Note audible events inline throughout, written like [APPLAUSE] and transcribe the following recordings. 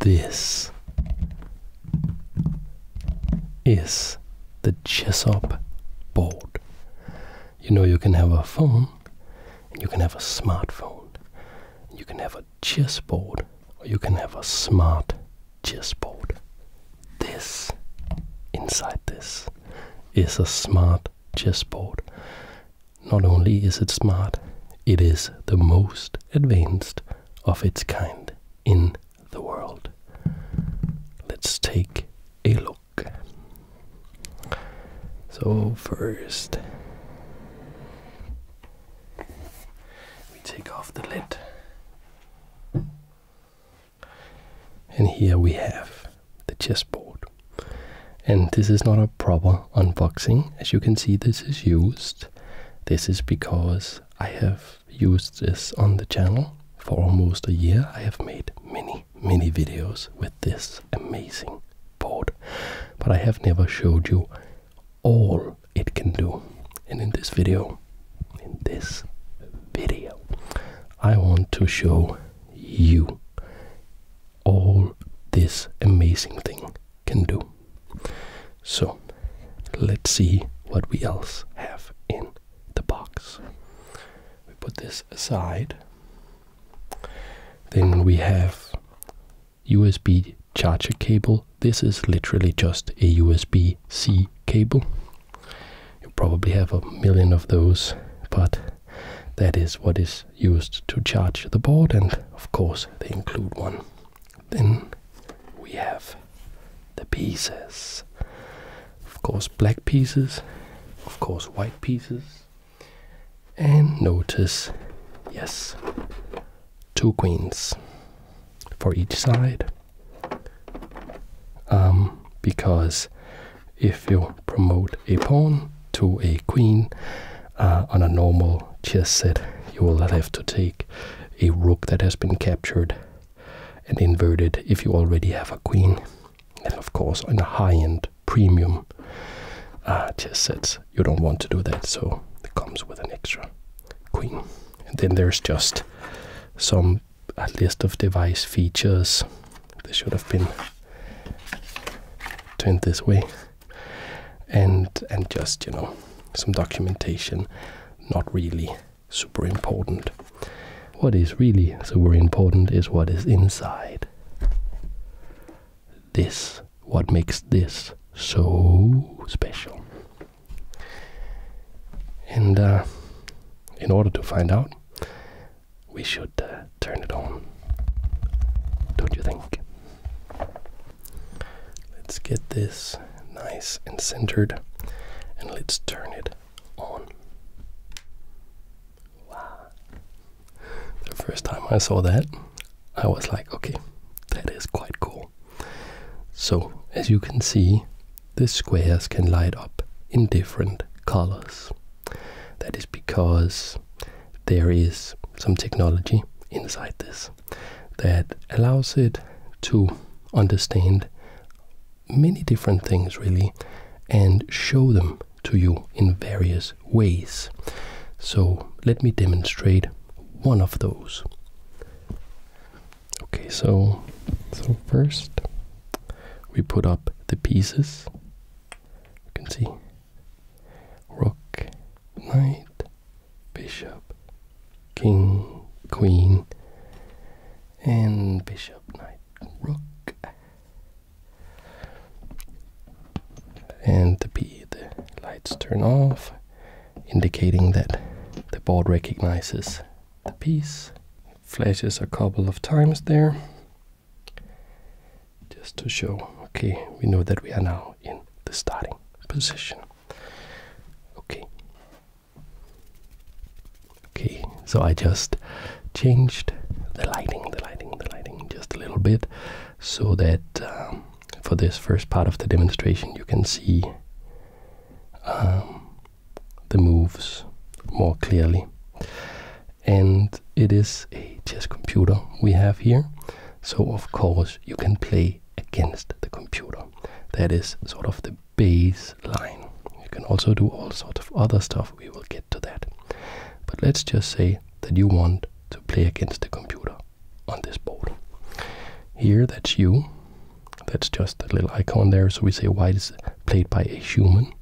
This is the Chessop board. You know, you can have a phone, you can have a smartphone, you can have a chessboard, or you can have a smart chessboard. This, inside this, is a smart chessboard. Not only is it smart, it is the most advanced of its kind in the world. Let's take a look. So, first, we take off the lid, and here we have the chessboard. And this is not a proper unboxing. As you can see, this is used. This is because I have used this on the channel for almost a year. I have made many, many videos with this amazing board, but I have never showed you all it can do. And in this video, in this video, I want to show you all this amazing thing can do. So let's see what we else have in the box. We put this aside. Then we have USB charger cable. This is literally just a USB C cable. You probably have a million of those, but that is what is used to charge the board, and of course, they include one. Then we have the pieces. Of course, black pieces, of course, white pieces. And notice, yes, two queens for each side. Um, because if you promote a pawn, to a queen uh, on a normal chess set, you will have to take a rook that has been captured and inverted if you already have a queen. And of course, on a high end premium uh, chess set, you don't want to do that, so it comes with an extra queen. And then there's just some list of device features. They should have been turned this way and and just you know some documentation not really super important what is really super important is what is inside this what makes this so special and uh, in order to find out we should uh, turn it on. Don't you think? Let's get this nice and centered and let's turn it on. The first time I saw that, I was like, okay, that is quite cool. So, as you can see, the squares can light up in different colors. That is because there is some technology inside this that allows it to understand many different things really and show them to you in various ways. So let me demonstrate one of those. Okay, so so first we put up the pieces. You can see rook, knight, bishop, king, queen, and bishop, knight, rook, and the P, the lights turn off, indicating that the board recognizes the piece. Flashes a couple of times there. Just to show, okay, we know that we are now in the starting position. Okay. Okay, so I just changed the lighting, the lighting, the lighting just a little bit so that um, for this first part of the demonstration you can see um, the moves more clearly and it is a chess computer we have here. So, of course, you can play against the computer. That is sort of the baseline. You can also do all sorts of other stuff, we will get to that. But let's just say that you want to play against the computer on this board. Here, that's you. That's just a little icon there. So we say, why is it played by a human?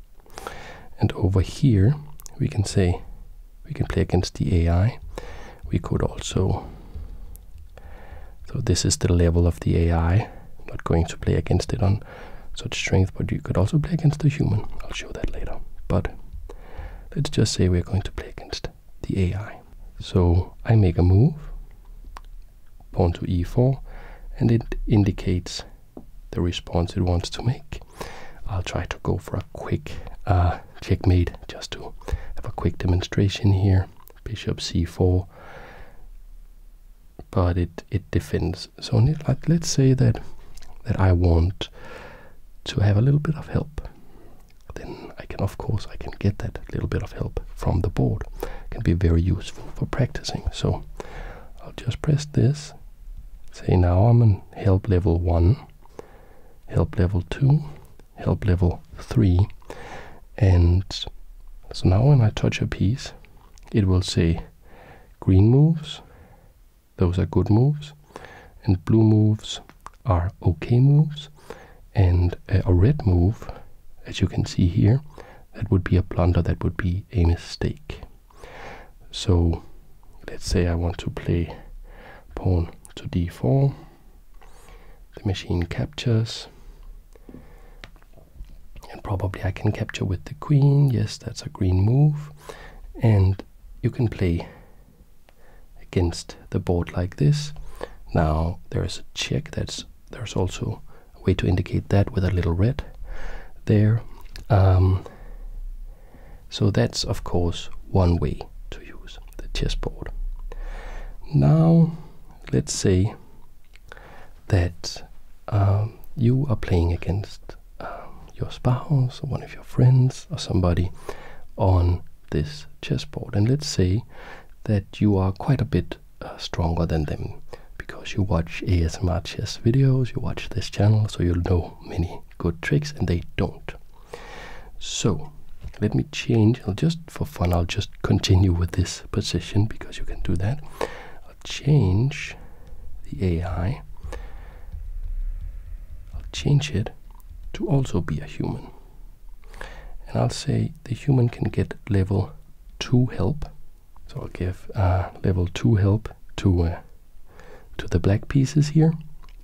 And over here, we can say we can play against the AI. We could also, so this is the level of the AI. not going to play against it on such strength, but you could also play against the human. I'll show that later. But let's just say we're going to play against the AI. So I make a move, pawn to e4, and it indicates the response it wants to make. I'll try to go for a quick uh, checkmate just to have a quick demonstration here. Bishop c4, but it it defends. So like, let's say that that I want to have a little bit of help. Then I can of course I can get that little bit of help from the board. can be very useful for practicing. So I'll just press this. Say now I'm on help level one help level 2, help level 3, and so now when I touch a piece, it will say green moves, those are good moves, and blue moves are okay moves, and a red move, as you can see here, that would be a blunder, that would be a mistake. So let's say I want to play pawn to d4. The machine captures. And probably I can capture with the queen. Yes, that's a green move. And you can play against the board like this. Now there is a check. That's There's also a way to indicate that with a little red there. Um, so that's of course one way to use the chessboard. Now let's say that um, you are playing against um, your spouse or one of your friends or somebody on this chessboard. And let's say that you are quite a bit uh, stronger than them because you watch ASMR chess videos, you watch this channel, so you know many good tricks and they don't. So let me change, I'll just for fun, I'll just continue with this position because you can do that. I'll change the AI, I'll change it to also be a human. And I'll say the human can get level 2 help. So I'll give uh, level 2 help to uh, to the black pieces here,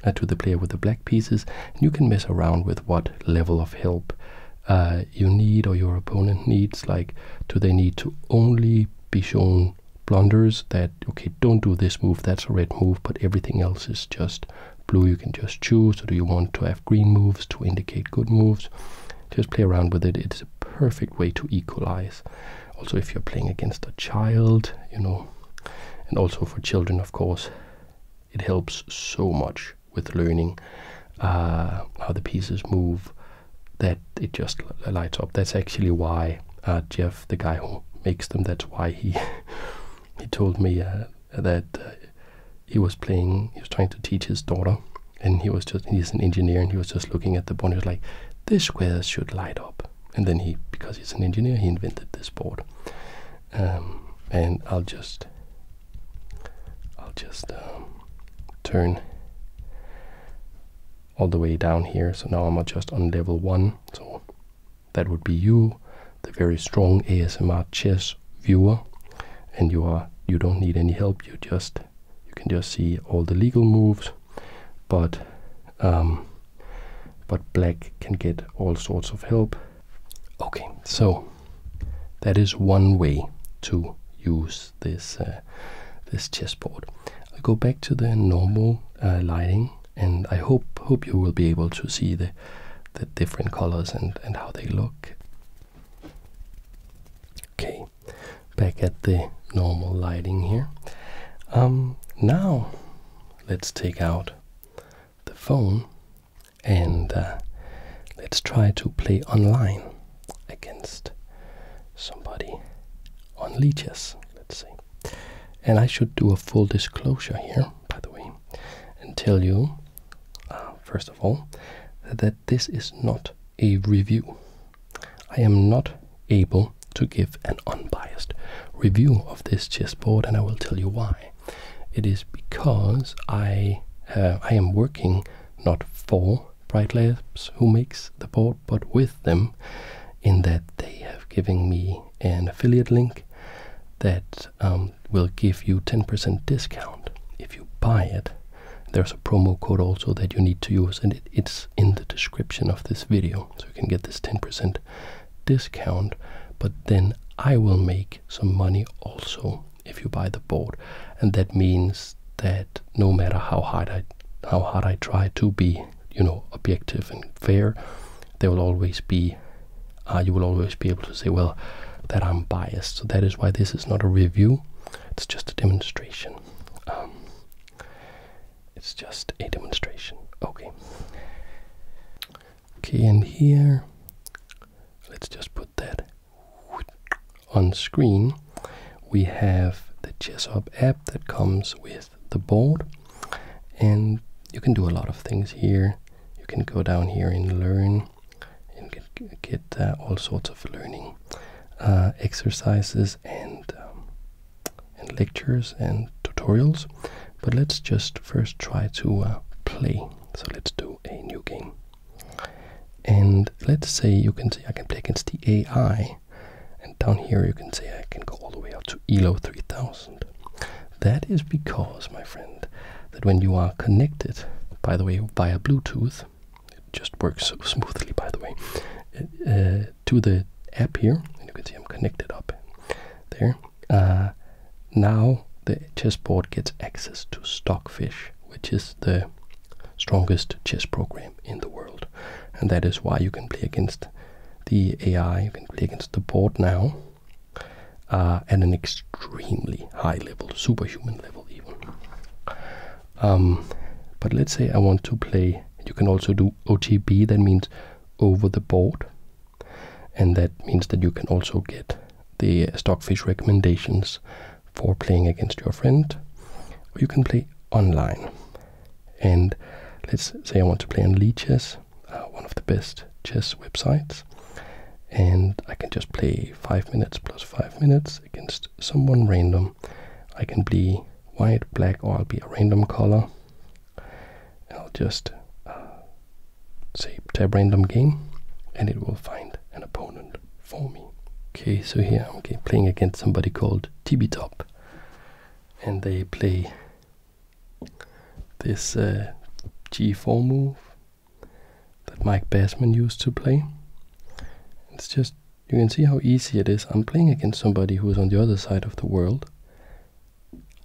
uh, to the player with the black pieces, and you can mess around with what level of help uh, you need or your opponent needs. Like, do they need to only be shown blunders that, okay, don't do this move, that's a red move, but everything else is just blue, you can just choose. Or do you want to have green moves to indicate good moves? Just play around with it. It's a perfect way to equalize also if you're playing against a child you know and also for children of course it helps so much with learning uh, how the pieces move that it just lights up that's actually why uh, jeff the guy who makes them that's why he [LAUGHS] he told me uh, that he was playing he was trying to teach his daughter and he was just he's an engineer and he was just looking at the board and he was like this square should light up and then he, because he's an engineer, he invented this board. Um, and I'll just, I'll just um, turn all the way down here. So now I'm just on level one. So that would be you, the very strong ASMR chess viewer, and you are you don't need any help. You just you can just see all the legal moves, but um, but black can get all sorts of help. Okay, so that is one way to use this uh, this chessboard. I go back to the normal uh, lighting, and I hope hope you will be able to see the the different colors and and how they look. Okay, back at the normal lighting here. Um, now let's take out the phone and uh, let's try to play online against somebody on leeches, let's say. And I should do a full disclosure here, by the way, and tell you, uh, first of all, that this is not a review. I am not able to give an unbiased review of this chessboard, and I will tell you why. It is because I uh, I am working not for Bright Labs, who makes the board, but with them, in that they have given me an affiliate link that um, will give you 10% discount if you buy it. There's a promo code also that you need to use, and it's in the description of this video so you can get this 10% discount. But then I will make some money also if you buy the board, and that means that no matter how hard I how hard I try to be, you know, objective and fair, there will always be uh, you will always be able to say, well, that I'm biased. So that is why this is not a review; it's just a demonstration. Um, it's just a demonstration. Okay. Okay, and here, let's just put that on screen. We have the ChessHub app that comes with the board, and you can do a lot of things here. You can go down here and learn, and get, get uh, all sorts of learning uh, exercises and um, and lectures and tutorials. But let's just first try to uh, play. So let's do a new game. And let's say you can see I can play against the AI. And down here you can see I can go all the way up to ELO 3000. That is because, my friend, that when you are connected, by the way, via Bluetooth, it just works so smoothly, by the way, uh, to the app here, and you can see I'm connected up there. Uh, now the chessboard gets access to Stockfish, which is the strongest chess program in the world, and that is why you can play against the AI, you can play against the board now uh, at an extremely high level, superhuman level even. Um, but let's say I want to play. You can also do OTB. That means over the board. And that means that you can also get the Stockfish recommendations for playing against your friend, you can play online. And let's say I want to play on Lee uh, one of the best chess websites, and I can just play five minutes plus five minutes against someone random. I can be white, black, or I'll be a random color. I'll just uh, say tab random game and it will find an opponent for me. Okay, so here I'm okay, playing against somebody called TB Top and they play this uh, G4 move that Mike Bassman used to play. It's just, you can see how easy it is. I'm playing against somebody who is on the other side of the world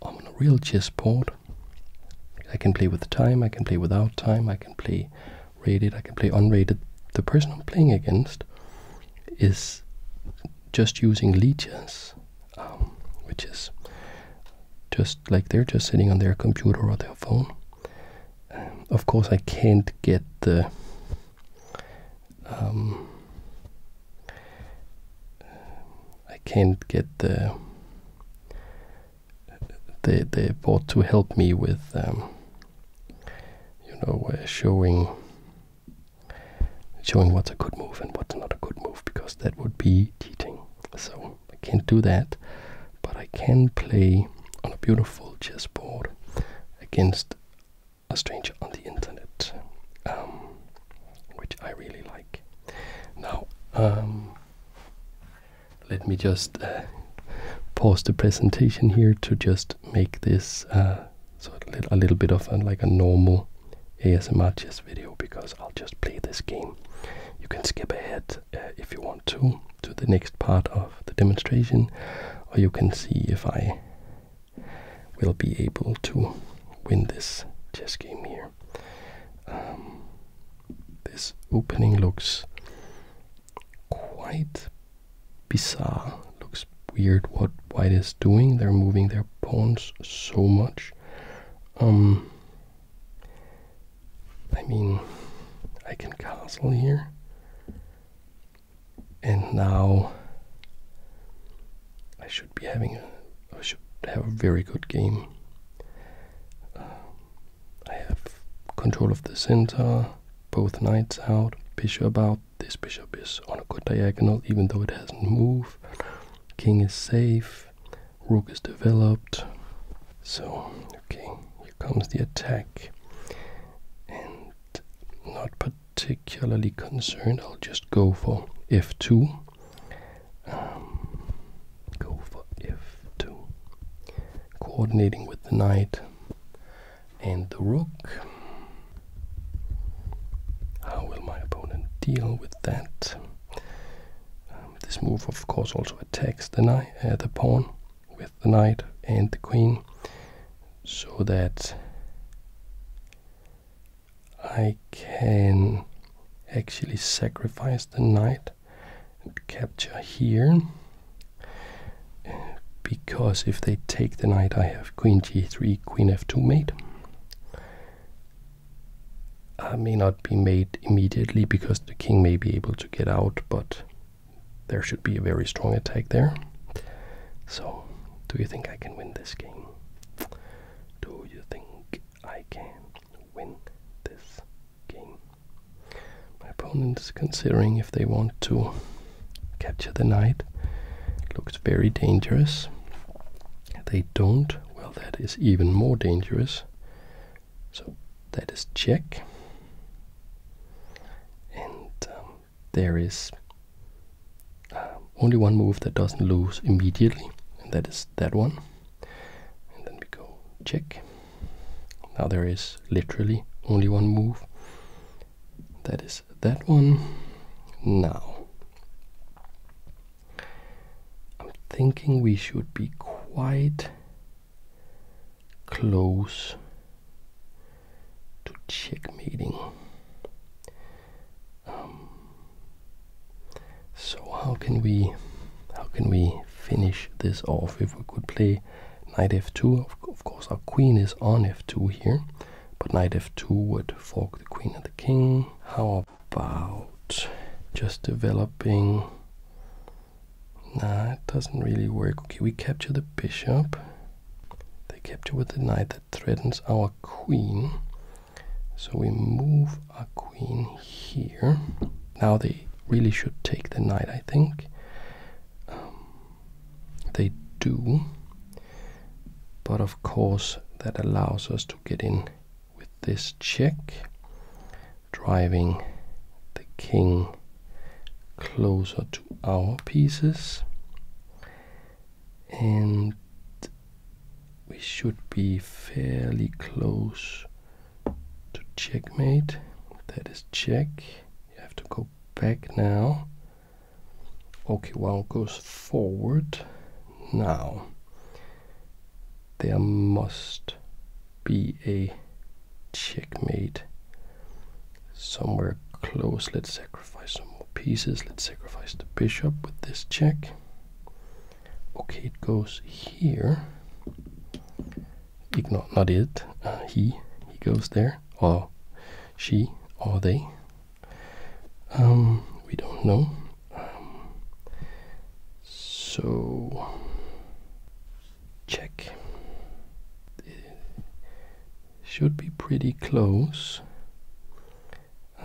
I'm on a real chess chessboard. I can play with time, I can play without time, I can play rated, I can play unrated. The person I'm playing against is just using leeches, um, which is just like they're just sitting on their computer or their phone. Um, of course, I can't get the um, I can't get the the the board to help me with um, you know uh, showing showing what's a good move and what's not a good move because that would be cheating. So I can't do that, but I can play on a beautiful chessboard against a Stranger on the Internet, um, which I really like. Now, um, let me just uh, pause the presentation here to just make this uh, so a, little, bit of like a normal ASMR chess video because I'll just play this game. You can skip ahead uh, if you want to to the next part of the demonstration, or you can see if I will be able to win this chess game here. Um, this opening looks quite bizarre. Looks weird what white is doing. They're moving their pawns so much. Um, I mean, I can castle here and now I should be having a I should have a very good game. Uh, I have control of the center, both knights out, bishop out. This bishop is on a good diagonal, even though it hasn't moved. King is safe, rook is developed. So okay, here comes the attack, and not particularly concerned. I'll just go for f2. Um, go for f2. Coordinating with the knight and the rook. How will my opponent deal with that? Um, this move, of course, also attacks the, knight, uh, the pawn with the knight and the queen so that I can actually sacrifice the knight and capture here because if they take the knight I have queen g3, queen f2 mate. I may not be mate immediately because the king may be able to get out, but there should be a very strong attack there. So, do you think I can win this game? do you think I can win this game? My opponent is considering if they want to capture the knight. It looks very dangerous. They don't. Well, that is even more dangerous. So that is check. And um, there is um, only one move that doesn't lose immediately, and that is that one. And then we go check. Now there is literally only one move. That is that one. Now, I'm thinking we should be quite close to checkmating. Um, so how can we how can we finish this off? If we could play knight f2, of, of course our queen is on f2 here, but knight f2 would fork the queen and the king. How about just developing? Nah, it doesn't really work. Okay, we capture the bishop. They capture with the knight threatens our queen. So we move our queen here. Now they really should take the knight, I think. Um, they do. But of course, that allows us to get in with this check, driving the king closer to our pieces and we should be fairly close to checkmate. That is check. You have to go back now. Okay, one goes forward. Now, there must be a checkmate somewhere close. Let's say sacrifice some more pieces. Let's sacrifice the bishop with this check. Okay, it goes here. Ignore, not it. Uh, he, he goes there, or she, or they. Um, we don't know. Um, so check should be pretty close.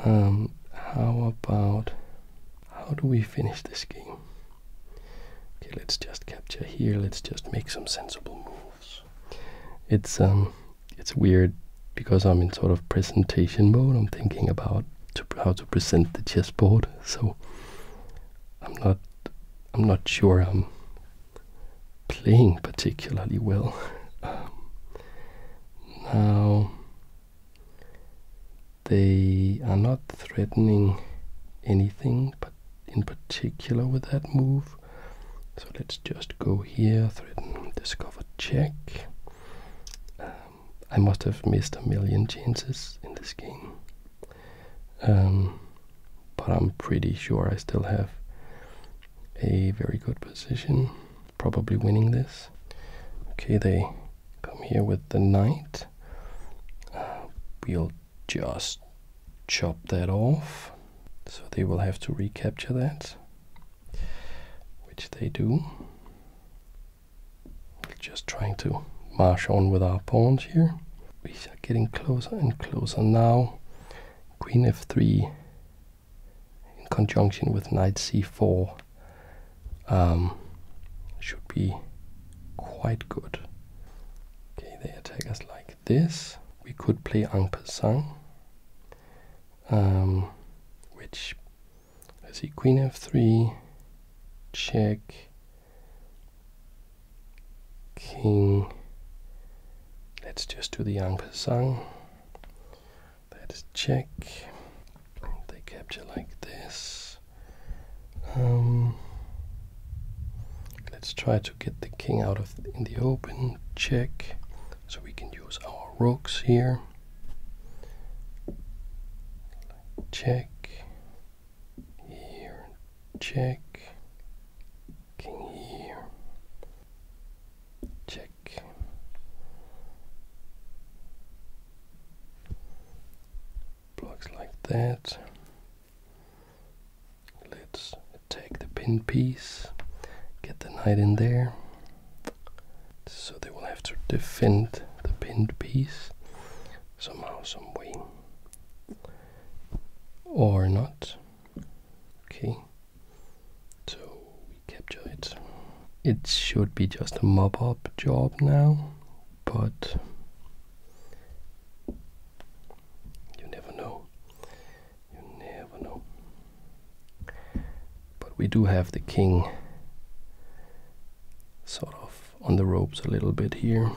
Um, how about how do we finish this game? Okay, let's just capture here. Let's just make some sensible moves. It's um, it's weird because I'm in sort of presentation mode. I'm thinking about how to present the chessboard, so I'm not I'm not sure I'm playing particularly well. Um, now they are not threatening anything but in particular with that move. So let's just go here, threaten, discover, check. Um, I must have missed a million chances in this game. Um, but I'm pretty sure I still have a very good position probably winning this. Okay, they come here with the knight. Uh, we'll just chop that off. So they will have to recapture that, which they do. just trying to march on with our pawns here. We are getting closer and closer now. Queen f3 in conjunction with knight c4 um, should be quite good. Okay, they attack us like this. We could play en passant, um, which, let's see, queen f3, check, king, let's just do the en passant let's check they capture like this um, let's try to get the king out of in the open check so we can use our rooks here check here check king here check blocks like that let's attack the pin piece get the knight in there so they will have to defend the pinned piece somehow some way or not okay so we capture it. It should be just a mop up job now, but you never know. You never know. But we do have the king sort of on the ropes a little bit here.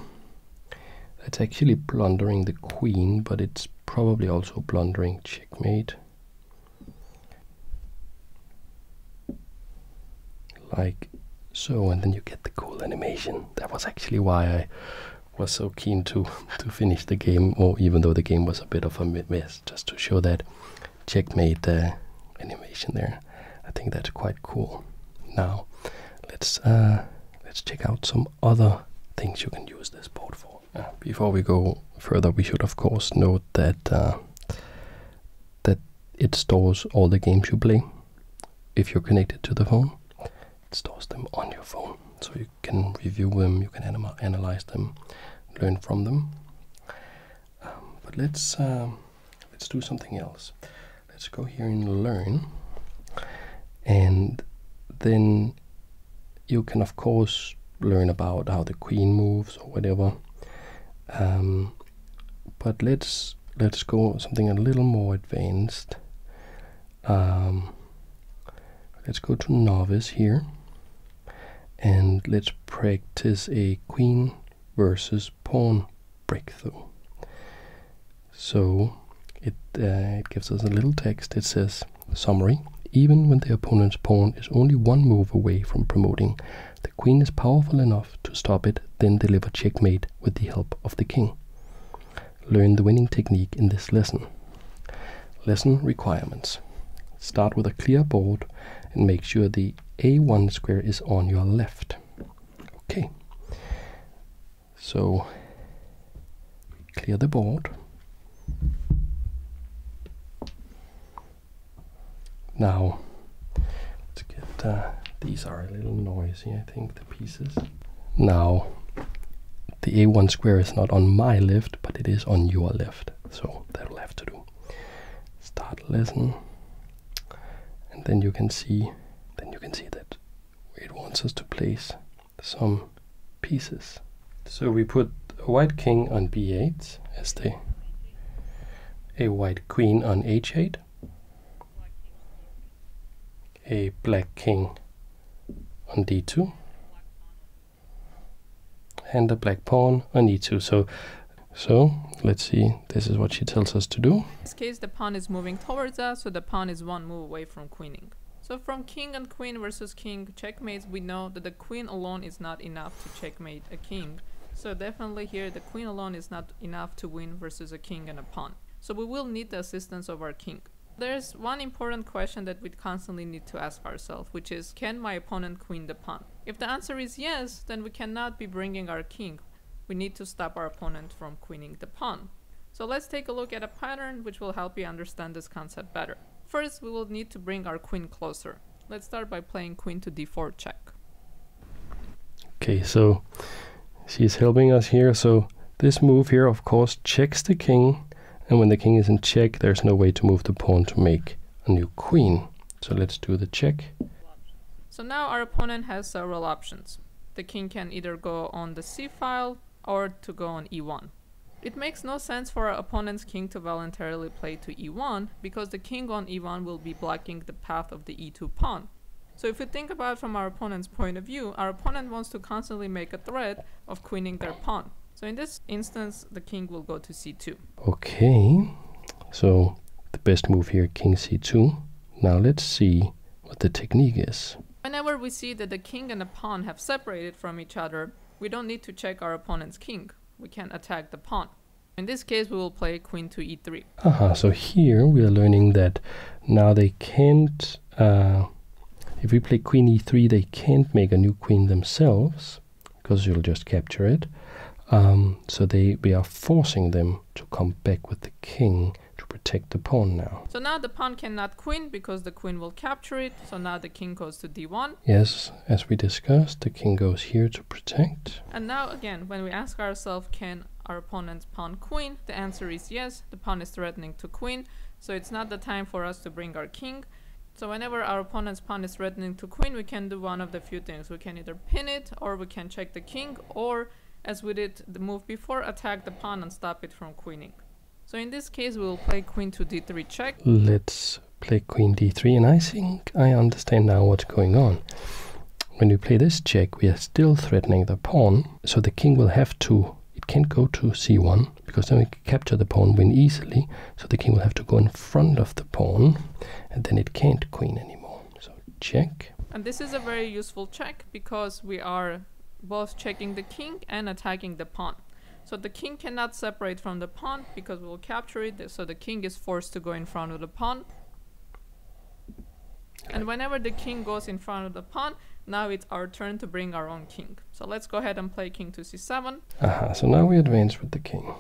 It's actually plundering the queen, but it's probably also plundering checkmate. Like so, and then you get the cool animation. That was actually why I was so keen to, [LAUGHS] to finish the game, or even though the game was a bit of a mess, just to show that checkmate uh, animation there. I think that's quite cool. Now, let's uh, let's check out some other things you can use this board for before we go further, we should of course note that uh, that it stores all the games you play if you're connected to the phone. It stores them on your phone, so you can review them, you can analyze them, learn from them. Um, but let's um, let's do something else. Let's go here and learn, and then you can of course learn about how the queen moves or whatever. Um, but let's let's go something a little more advanced. Um, let's go to novice here, and let's practice a queen versus pawn breakthrough. So it uh, it gives us a little text. It says Summary Even when the opponent's pawn is only one move away from promoting, the queen is powerful enough to stop it, then deliver checkmate with the help of the king. Learn the winning technique in this lesson. Lesson requirements. Start with a clear board and make sure the A1 square is on your left. Okay. So Clear the board. Now, uh, these are a little noisy, I think, the pieces. Now, the A1 square is not on my left, but it is on your left, so that'll have to do. Start lesson, and then you can see, then you can see that it wants us to place some pieces. So we put a white king on b8 as the a white queen on h8, a black king on d2, and a black pawn on e2. So, so let's see, this is what she tells us to do. In this case, the pawn is moving towards us, so the pawn is one move away from queening. So from king and queen versus king checkmates, we know that the queen alone is not enough to checkmate a king. So definitely here the queen alone is not enough to win versus a king and a pawn. So we will need the assistance of our king. There's one important question that we constantly need to ask ourselves, which is can my opponent queen the pawn? If the answer is yes, then we cannot be bringing our king. We need to stop our opponent from queening the pawn. So let's take a look at a pattern which will help you understand this concept better. First, we will need to bring our queen closer. Let's start by playing queen to d4 check. Okay, so she's helping us here. So this move here, of course, checks the king. And when the king is in check, there's no way to move the pawn to make a new queen. So let's do the check. So now our opponent has several options. The king can either go on the c file or to go on e1. It makes no sense for our opponent's king to voluntarily play to e1, because the king on e1 will be blocking the path of the e2 pawn. So if we think about from our opponent's point of view, our opponent wants to constantly make a threat of queening their pawn. So in this instance, the king will go to c2. Okay, so the best move here, king c2. Now let's see what the technique is. Whenever we see that the king and the pawn have separated from each other, we don't need to check our opponent's king. We can attack the pawn. In this case, we will play queen to e3. Ah, uh so here we are learning that now they can't... Uh, if we play queen e3, they can't make a new queen themselves, because you'll just capture it. Um, so they we are forcing them to come back with the king to protect the pawn now. So now the pawn cannot queen because the queen will capture it. So now the king goes to d1. Yes, as we discussed, the king goes here to protect. And now again, when we ask ourselves, can our opponent pawn queen? The answer is yes, the pawn is threatening to queen, so it's not the time for us to bring our king. So whenever our opponent's pawn is threatening to queen, we can do one of the few things. We can either pin it, or we can check the king, or as we did the move before, attack the pawn and stop it from queening. So in this case, we'll play queen to d3 check. Let's play queen d3, and I think I understand now what's going on. When we play this check, we are still threatening the pawn, so the king will have to, it can't go to c1, because then we can capture the pawn win easily, so the king will have to go in front of the pawn, and then it can't queen anymore. So check. And this is a very useful check, because we are both checking the king and attacking the pawn. So the king cannot separate from the pawn because we'll capture it. So the king is forced to go in front of the pawn. And whenever the king goes in front of the pawn, now it's our turn to bring our own king. So let's go ahead and play king to c7. Aha, so now we advance with the king.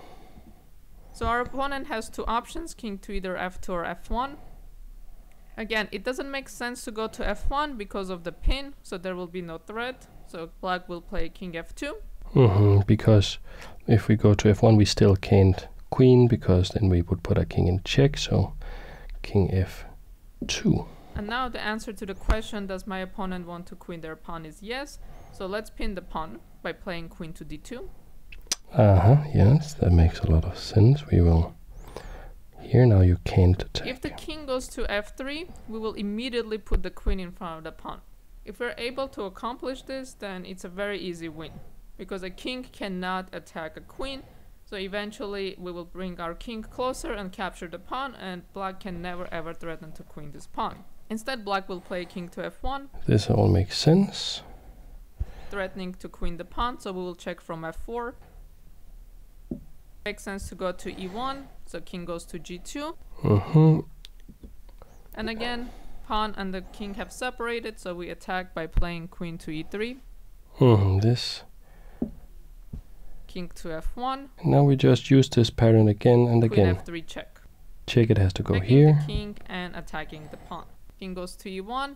So our opponent has two options, king to either f2 or f1. Again, it doesn't make sense to go to f1 because of the pin, so there will be no threat. So black will play king f2. Mm -hmm, because if we go to f1, we still can't queen because then we would put a king in check. So king f2. And now the answer to the question, does my opponent want to queen their pawn is yes. So let's pin the pawn by playing queen to d2. Uh-huh, yes, that makes a lot of sense. We will... Here now you can't attack. If the king goes to f3, we will immediately put the queen in front of the pawn. If we're able to accomplish this, then it's a very easy win, because a king cannot attack a queen, so eventually we will bring our king closer and capture the pawn, and black can never ever threaten to queen this pawn. Instead, black will play king to f1. This all makes sense. Threatening to queen the pawn, so we will check from f4. Makes sense to go to e1, so king goes to g2. Mm-hmm. And again, pawn and the king have separated, so we attack by playing queen to e3. Mm-hmm, this. King to f1. Now we just use this pattern again and again. Queen f3 check. Check it has to go here. king and attacking the pawn. King goes to e1.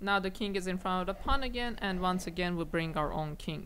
Now the king is in front of the pawn again, and once again we bring our own king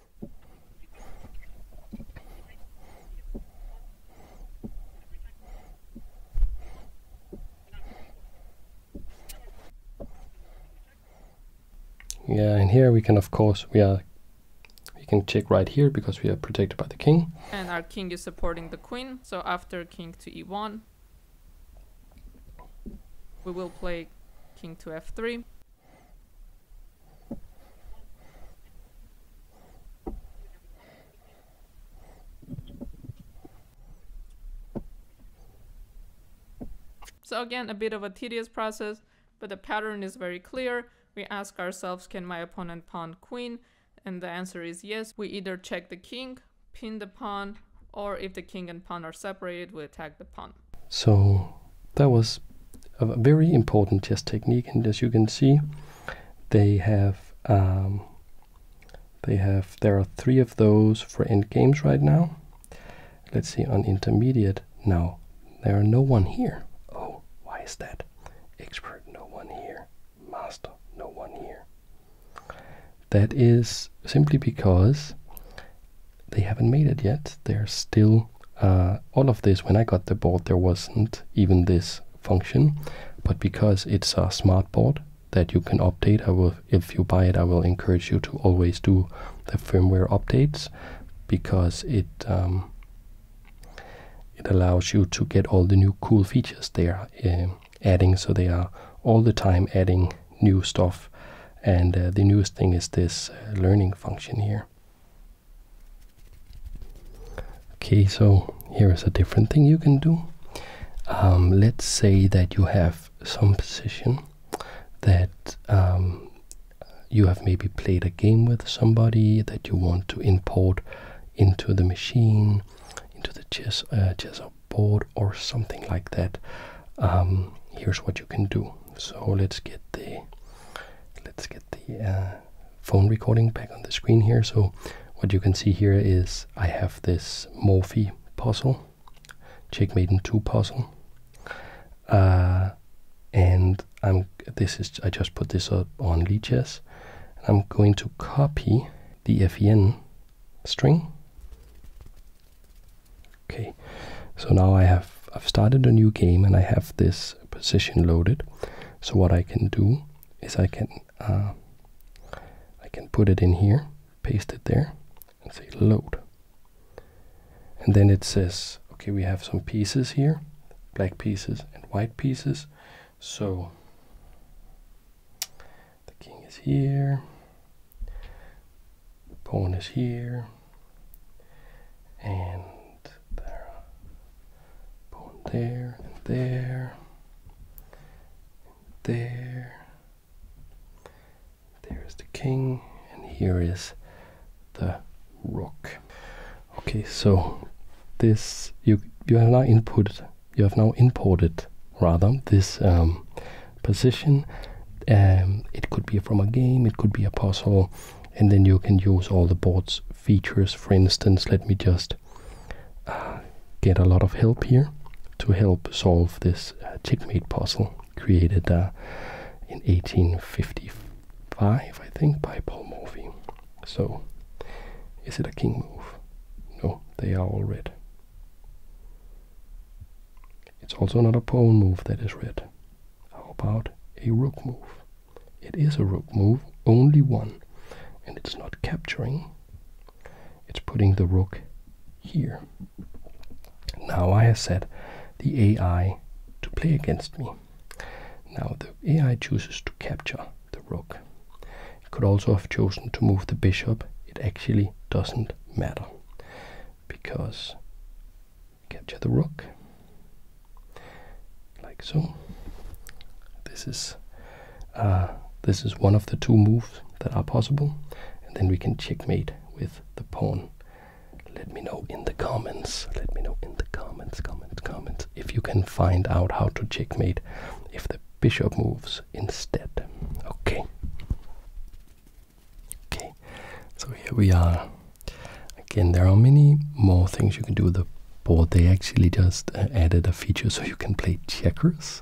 Yeah, and here we can of course we are we can check right here because we are protected by the king. And our king is supporting the queen, so after king to e1, we will play king to f3. So again, a bit of a tedious process, but the pattern is very clear. We ask ourselves, can my opponent pawn queen? And the answer is yes. We either check the king, pin the pawn, or if the king and pawn are separated, we attack the pawn. So that was a very important chess technique, and as you can see, they have um, they have there are three of those for end games right now. Let's see on intermediate now. There are no one here. Oh, why is that? Expert, no one here. Master, no one here. That is simply because they haven't made it yet. They're still uh, all of this. When I got the board, there wasn't even this function, but because it's a smart board that you can update, I will. If you buy it, I will encourage you to always do the firmware updates because it um, it allows you to get all the new cool features they are uh, adding. So they are all the time adding new stuff, and uh, the newest thing is this learning function here. Okay, so here is a different thing you can do. Um, let's say that you have some position that um, you have maybe played a game with somebody that you want to import into the machine, into the chess, uh, board or something like that. Um, here's what you can do. So let's get the let's get the uh, phone recording back on the screen here. So what you can see here is I have this Morphy puzzle, Checkmate in 2 puzzle. Uh, and I'm this is I just put this up on Lee I'm going to copy the FEN string Okay, so now I have I've started a new game and I have this position loaded. So what I can do is I can uh, I can put it in here, paste it there, and say load. And then it says, okay, we have some pieces here, black pieces and white pieces. So the king is here, Pawn is here. And there. Pawn there and there. And there. There is the king. And here is the rook. Okay, so this you you have now input you have now imported rather this um, position. Um, it could be from a game, it could be a puzzle, and then you can use all the board's features. For instance, let me just uh, get a lot of help here to help solve this uh, checkmate puzzle created uh, in 1855, I think, by Paul Morphy. So, is it a king move? No, they are all red. It's also not a pawn move that is red. How about a rook move? It is a rook move, only one, and it's not capturing. It's putting the rook here. Now I have set the AI to play against me. Now the AI chooses to capture the rook. It could also have chosen to move the bishop. It actually doesn't matter because capture the rook like so this is uh, this is one of the two moves that are possible and then we can checkmate with the pawn let me know in the comments let me know in the comments comments comments if you can find out how to checkmate if the bishop moves instead okay Okay, so here we are. Again, there are many more things you can do with the board. They actually just uh, added a feature so you can play checkers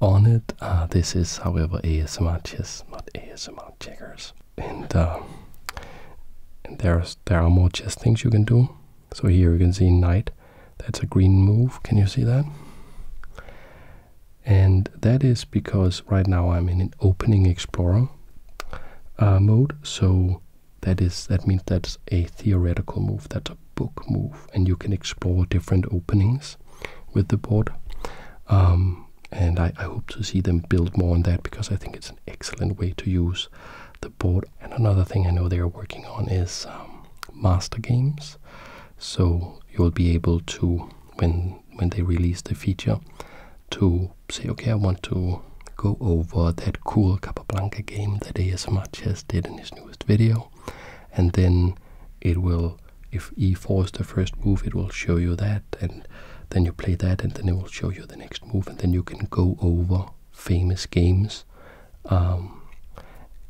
on it. Uh, this is, however, as much chess, not much checkers. And, uh, and there are more chess things you can do. So here you can see knight. That's a green move. Can you see that? And that is because right now I'm in an opening explorer uh, mode. So that is that means that's a theoretical move. That's a book move, and you can explore different openings with the board. Um, and I, hope to see them build more on that because I think it's an excellent way to use the board. And another thing I know they are working on is um, master games. So you'll be able to when when they release the feature to say, okay, I want to go over that cool Capablanca game that he as much as did in his newest video. And then it will, if e4 is the first move, it will show you that. And then you play that, and then it will show you the next move. And then you can go over famous games. Um,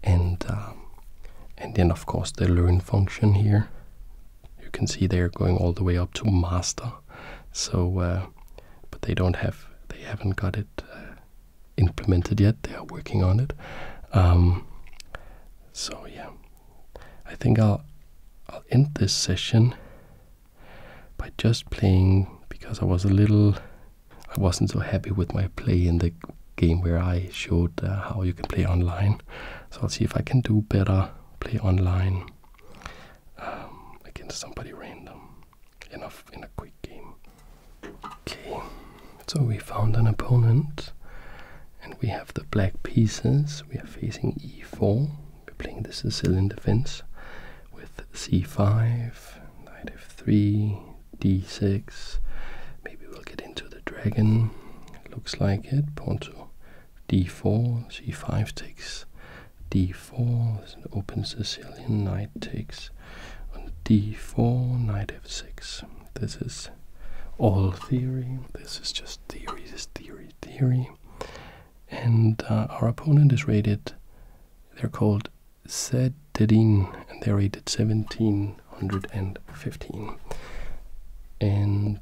and, um, and then, of course, the learn function here you can see they're going all the way up to master. So, uh, but they don't have, they haven't got it uh, implemented yet. They are working on it. Um, so yeah, I think I'll I'll end this session by just playing because I was a little, I wasn't so happy with my play in the game where I showed uh, how you can play online. So I'll see if I can do better play online um, against somebody random enough in a quick game. Okay, so we found an opponent and we have the black pieces. We are facing e4. We're playing the Sicilian defense with c5, knight f3, d6. Maybe we'll get into the dragon. looks like it. Ponto d4, c5 takes d4, opens Sicilian, knight takes on d4, knight f6. This is all theory. This is just theory, this theory, theory. And uh, our opponent is rated, they're called Zedin, and they're rated 1715. And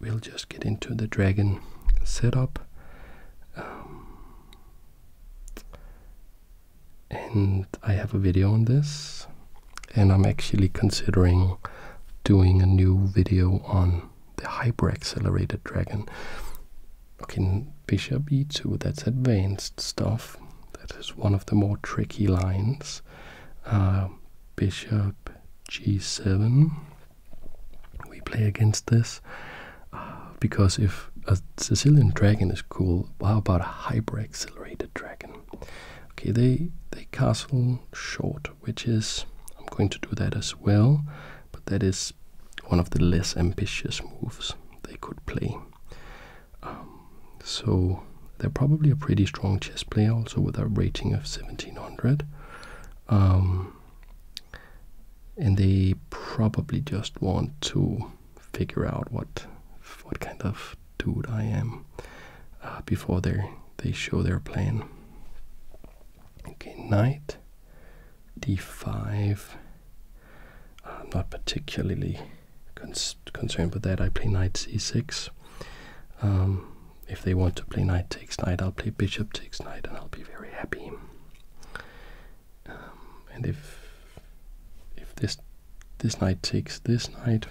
we'll just get into the dragon setup um, and I have a video on this and I'm actually considering doing a new video on the hyper accelerated dragon okay bishop e2 that's advanced stuff that is one of the more tricky lines uh, bishop g7 we play against this uh, because if a Sicilian dragon is cool, how about a hyper accelerated dragon? Okay, they they castle short, which is I'm going to do that as well, but that is one of the less ambitious moves they could play. Um, so they're probably a pretty strong chess player, also with a rating of 1700. Um, and they probably just want to figure out what what kind of dude I am uh, before they they show their plan. Okay, knight d5. not particularly concerned with that. I play knight c6 if they want to play knight takes knight, I'll play bishop takes knight, and I'll be very happy. Um, and if if this this knight takes this knight,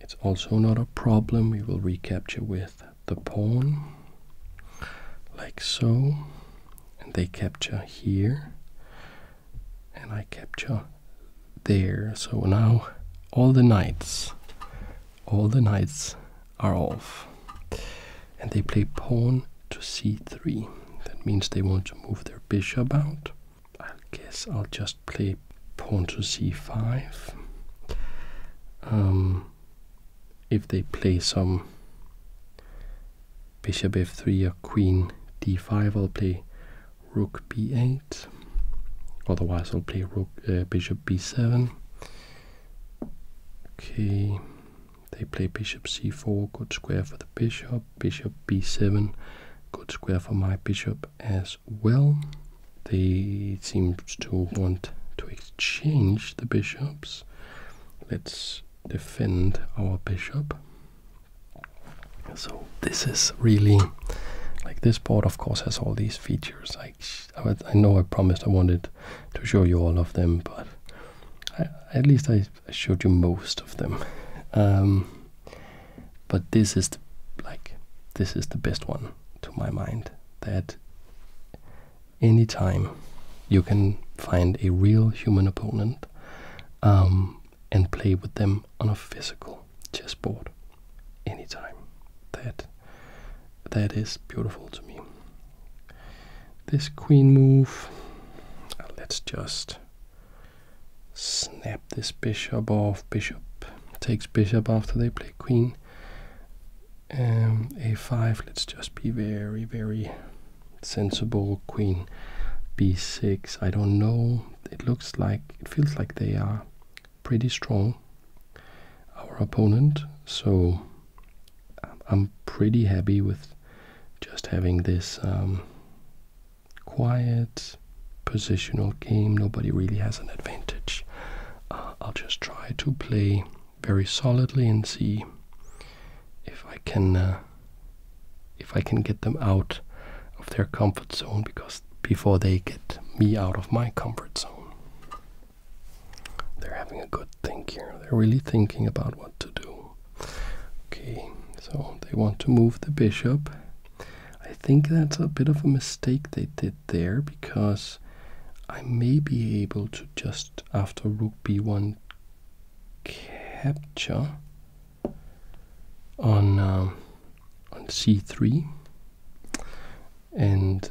it's also not a problem. We will recapture with the pawn, like so, and they capture here, and I capture there. So now all the knights all the knights are off. And they play pawn to c3. That means they want to move their bishop out. I guess I'll just play pawn to c5. Um, if they play some bishop f3 or queen d5, I'll play rook b8. Otherwise, I'll play uh, bishop b7. Okay, they play bishop c4, good square for the bishop, bishop b7, good square for my bishop as well. They seem to want to exchange the bishops. Let's defend our bishop. So this is really like this board of course has all these features I, know I promised I wanted to show you all of them, but at least I, showed you most of them. Um, but this is the, like this is the best one to my mind. That any time you can find a real human opponent um, and play with them on a physical chessboard anytime. That that is beautiful to me. This queen move. Uh, let's just snap this bishop off. Bishop takes bishop after they play queen. Um, a5. Let's just be very very sensible. Queen b6. I don't know. It looks like it feels like they are pretty strong, our opponent. So I'm pretty happy with just having this um, quiet positional game. Nobody really has an advantage. Uh, I'll just try to play very solidly and see if I can uh, if I can get them out of their comfort zone because before they get me out of my comfort zone. They're having a good think here. They're really thinking about what to do. Okay, so they want to move the bishop. I think that's a bit of a mistake they did there because I may be able to just after rook b1 capture on um, on c3 and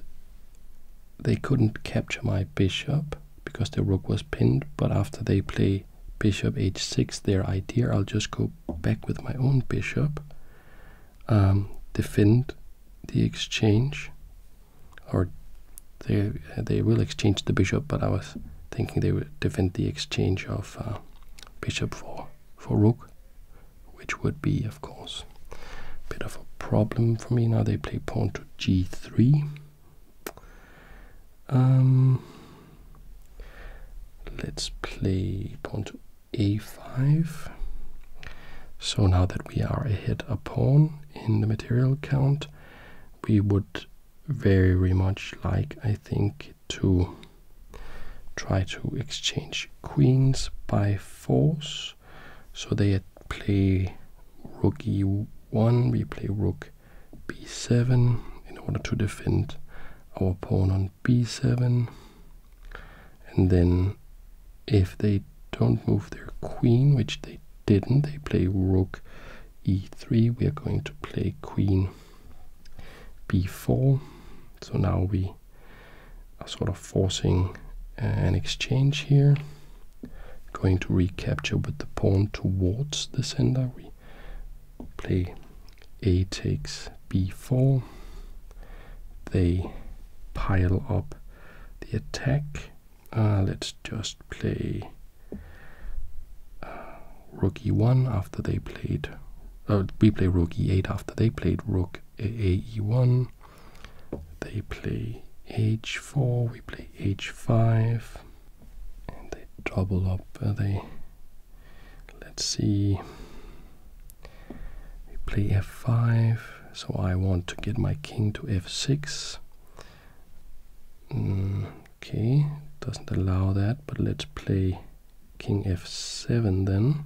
they couldn't capture my bishop because the rook was pinned but after they play bishop h6 their idea i'll just go back with my own bishop um, defend the exchange or they, they will exchange the bishop but i was thinking they would defend the exchange of uh, bishop for, for rook which would be, of course, a bit of a problem for me. Now they play pawn to g3. Um, let's play pawn to a5. So now that we are ahead a pawn in the material count, we would very much like, I think, to try to exchange queens by force. So they play rook e1, we play rook b7 in order to defend our pawn on b7. And then if they don't move their queen, which they didn't, they play rook e3, we are going to play queen b4. So now we are sort of forcing uh, an exchange here. Going to recapture with the pawn towards the sender. We play a takes b4. They pile up the attack. Uh, let's just play uh, rook e1 after they played. Uh, we play rook e8 after they played rook AE1. They play H4, we play H5, and they double up. Uh, they let's see, we play F5. So I want to get my king to F6. Mm, okay, doesn't allow that, but let's play king f7 then.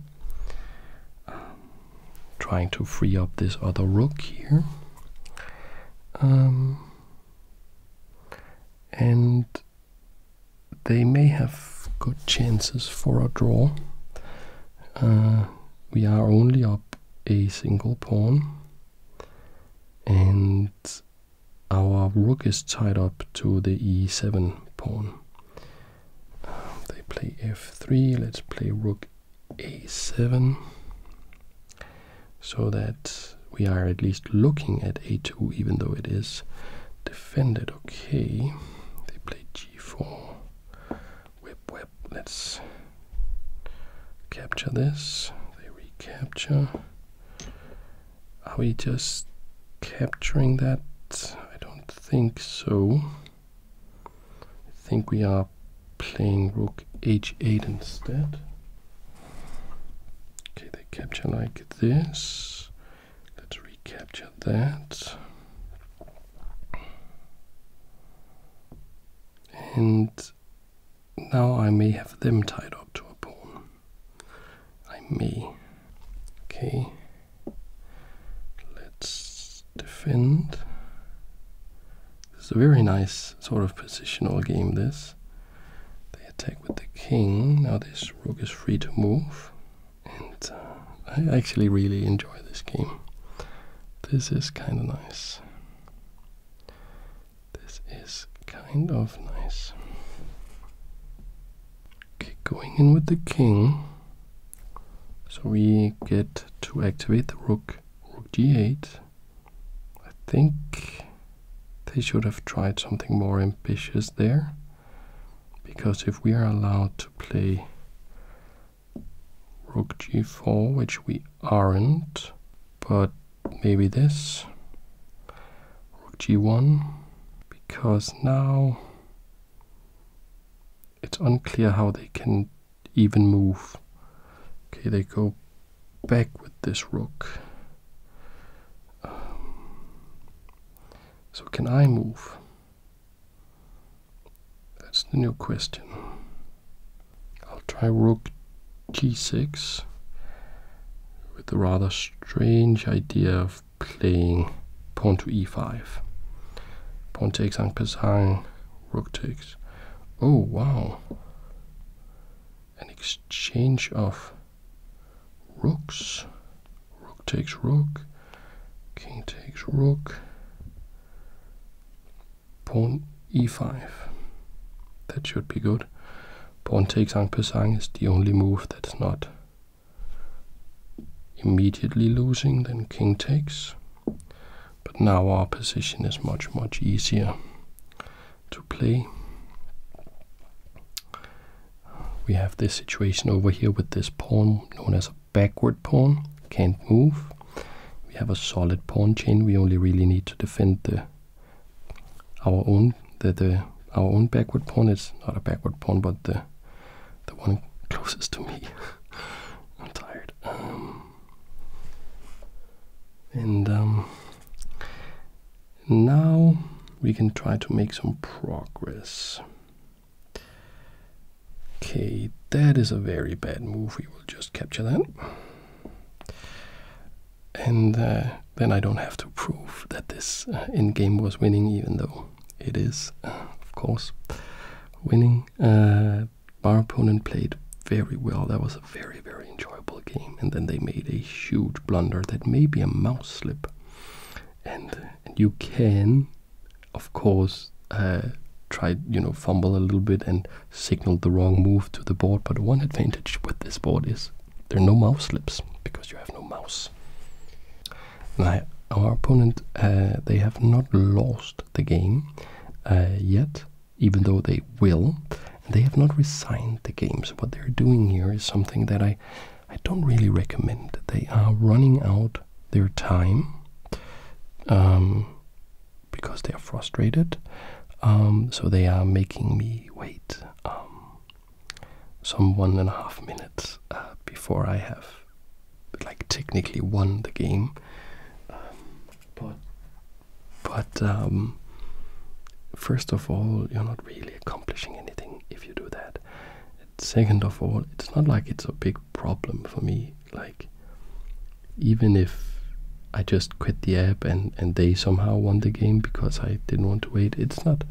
Um, trying to free up this other rook here. Um, and they may have good chances for a draw. Uh, we are only up a single pawn and our rook is tied up to the e7 pawn they play f3. Let's play rook a7 so that we are at least looking at a2 even though it is defended. Okay, they play g4. Whip, whip. Let's capture this. They recapture. Are we just capturing that? I don't think so. I think we are playing rook h8 instead. Okay, they capture like this. Let's recapture that. And now I may have them tied up to a pawn. I may. Okay, let's defend. This is a very nice sort of positional game, this. They attack with the king. Now this rook is free to move. And uh, I actually really enjoy this game. This is kind of nice. This is kind of nice. Okay, going in with the king. So we get to activate the rook, rook g8. I think they should have tried something more ambitious there. Because if we are allowed to play rook g4, which we aren't, but maybe this, rook g1, because now it's unclear how they can even move. Okay, they go back with this rook. Um, so can I move? That's the new question. I'll try rook g6 with the rather strange idea of playing pawn to e5. Pawn takes on Pesang, rook takes. Oh wow! An exchange of rooks. Rook takes rook, king takes rook, pawn e5. That should be good. Pawn takes on Pesang is the only move that's not immediately losing, then king takes. But now our position is much, much easier to play. We have this situation over here with this pawn known as a backward pawn, can't move. We have a solid pawn chain. We only really need to defend the our own the, the our own backward pawn. Is not a backward pawn, but the the one closest to me. [LAUGHS] I'm tired. Um, and um, now we can try to make some progress. Okay, that is a very bad move. We will just capture that. And uh, then I don't have to prove that this uh, endgame was winning, even though it is, of course, winning. our uh, opponent played very well. That was a very, very enjoyable game. And then they made a huge blunder that may be a mouse slip. And, and you can, of course, uh, try, you know, fumble a little bit and signal the wrong move to the board. But one advantage with this board is there are no mouse slips because you have no mouse. Now, our opponent, uh, they have not lost the game uh, yet, even though they will. They have not resigned the games. What they're doing here is something that I, I don't really recommend. They are running out their time um, because they are frustrated. Um, so they are making me wait um, some one and a half minutes uh, before I have like technically won the game, but but um, first of all, you're not really accomplishing anything if you do that. second of all, it's not like it's a big problem for me. Like even if I just quit the app and and they somehow won the game because I didn't want to wait, it's not.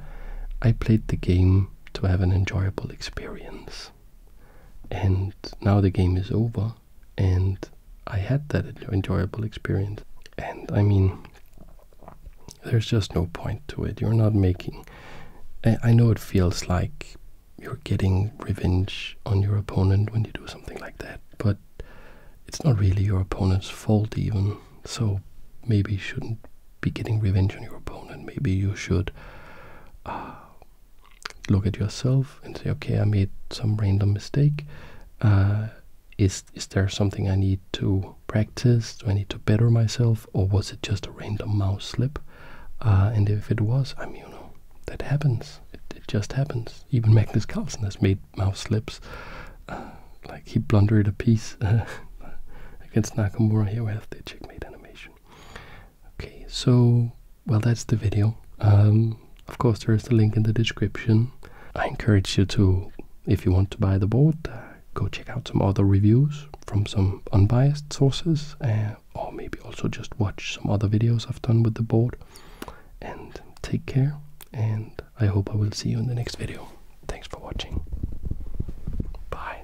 I played the game to have an enjoyable experience and now the game is over and i had that enjoyable experience and i mean there's just no point to it you're not making i, I know it feels like you're getting revenge on your opponent when you do something like that but it's not really your opponent's fault even so maybe you shouldn't be getting revenge on your opponent. Maybe you should uh, look at yourself and say, okay, I made some random mistake. Uh, is is there something I need to practice? Do I need to better myself, or was it just a random mouse slip? Uh, and if it was, I mean, you know, that happens. It, just happens. Even [LAUGHS] Magnus Carlsen has made mouse slips. like he blundered a piece against [LAUGHS] Nakamura here with the checkmate animation. Okay, so, well, that's the video. Um, of course, there is the link in the description. I encourage you to, if you want to buy the board, go check out some other reviews from some unbiased sources, uh, or maybe also just watch some other videos I've done with the board. And take care, and I hope I will see you in the next video. Thanks for watching. Bye.